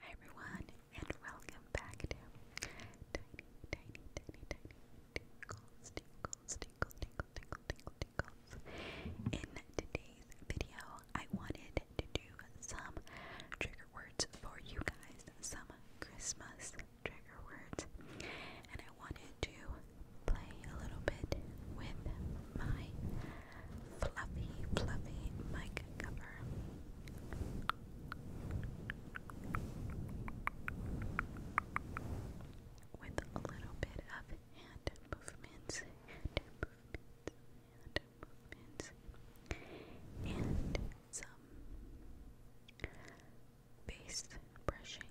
Hi everyone, and welcome back to In today's video, I wanted to do some trigger words for you guys, some Christmas trigger words, and I wanted to play a little bit with my fluffy, fluffy mic cover. With a little bit of hand movements, and some bass brushing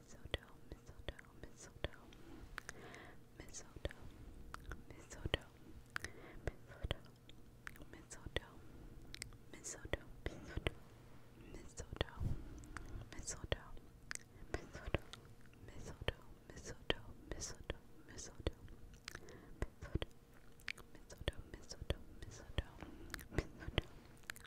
mistletoe, mistletoe, mistletoe, mistletoe, mistletoe, mistletoe, mistletoe, mistletoe, mistletoe, mistletoe, mistletoe, mistletoe, mistletoe, mistletoe, mistletoe, mistletoe, mistletoe. Mistletoe, mistletoe, mistletoe, mistletoe,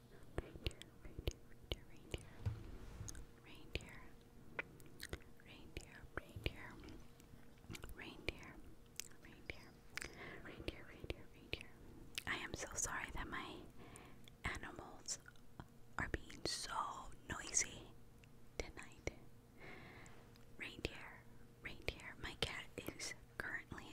reindeer, reindeer, reindeer, reindeer, reindeer, reindeer, reindeer, reindeer, reindeer, reindeer. I am so sorry that my animals are being so noisy tonight. Reindeer, reindeer. My cat is currently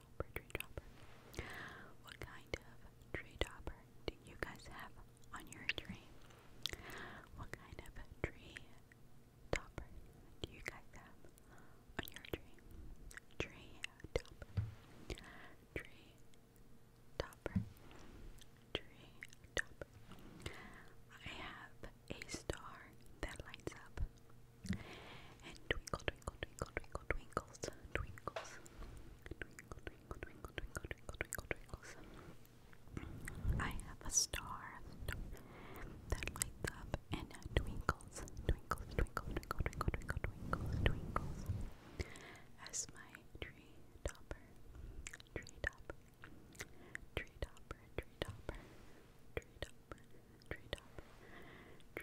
tree What kind of tree dropper do you guys have on your tree? What kind of tree topper do you guys have on your tree? Tree topper. Tree topper. Tree topper. I have a star that lights up. And twinkle, twinkle, twinkle, twinkle, twinkles, twinkles, I have a star that lights up and twinkles, twinkles, twinkle, twinkle, twinkle, twinkles, twinkles. As my tree topper, tree topper, tree topper, tree topper, tree topper, tree topper, tree topper,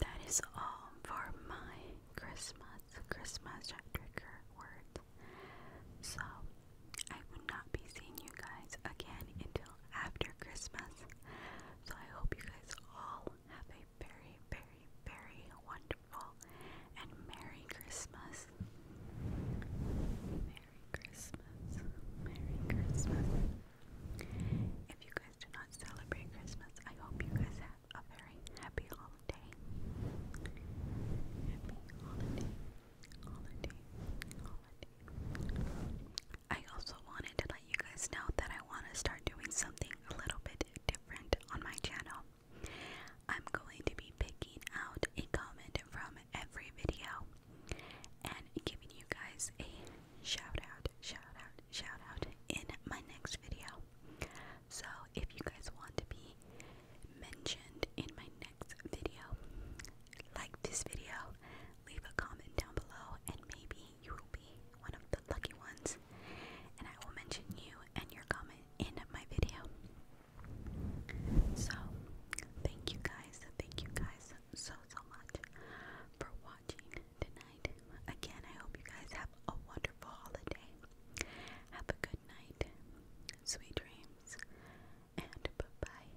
that is all for my Christmas, Christmas trigger word. So, I will not be seeing you guys again until after Christmas. So, I hope you guys all have a very, very, very wonderful and Merry Christmas. Merry Christmas. Merry Christmas. If you guys do not celebrate Christmas, I hope you guys have a very happy holiday. Happy holiday. Holiday. Holiday. I also wanted to let you guys know that I want to start doing something a little bit different on my channel. I'm going to be picking out a comment from every video and giving you guys a shout out, shout out, shout out in my next video. So if you guys want to be mentioned in my next video, like this video, leave a comment down below, and maybe you will be one of the lucky ones. And I will mention you and your comment in my video. So, thank you guys, thank you guys so, so much for watching tonight. Again, I hope you guys have a wonderful holiday. Have a good night, sweet dreams, and bye-bye.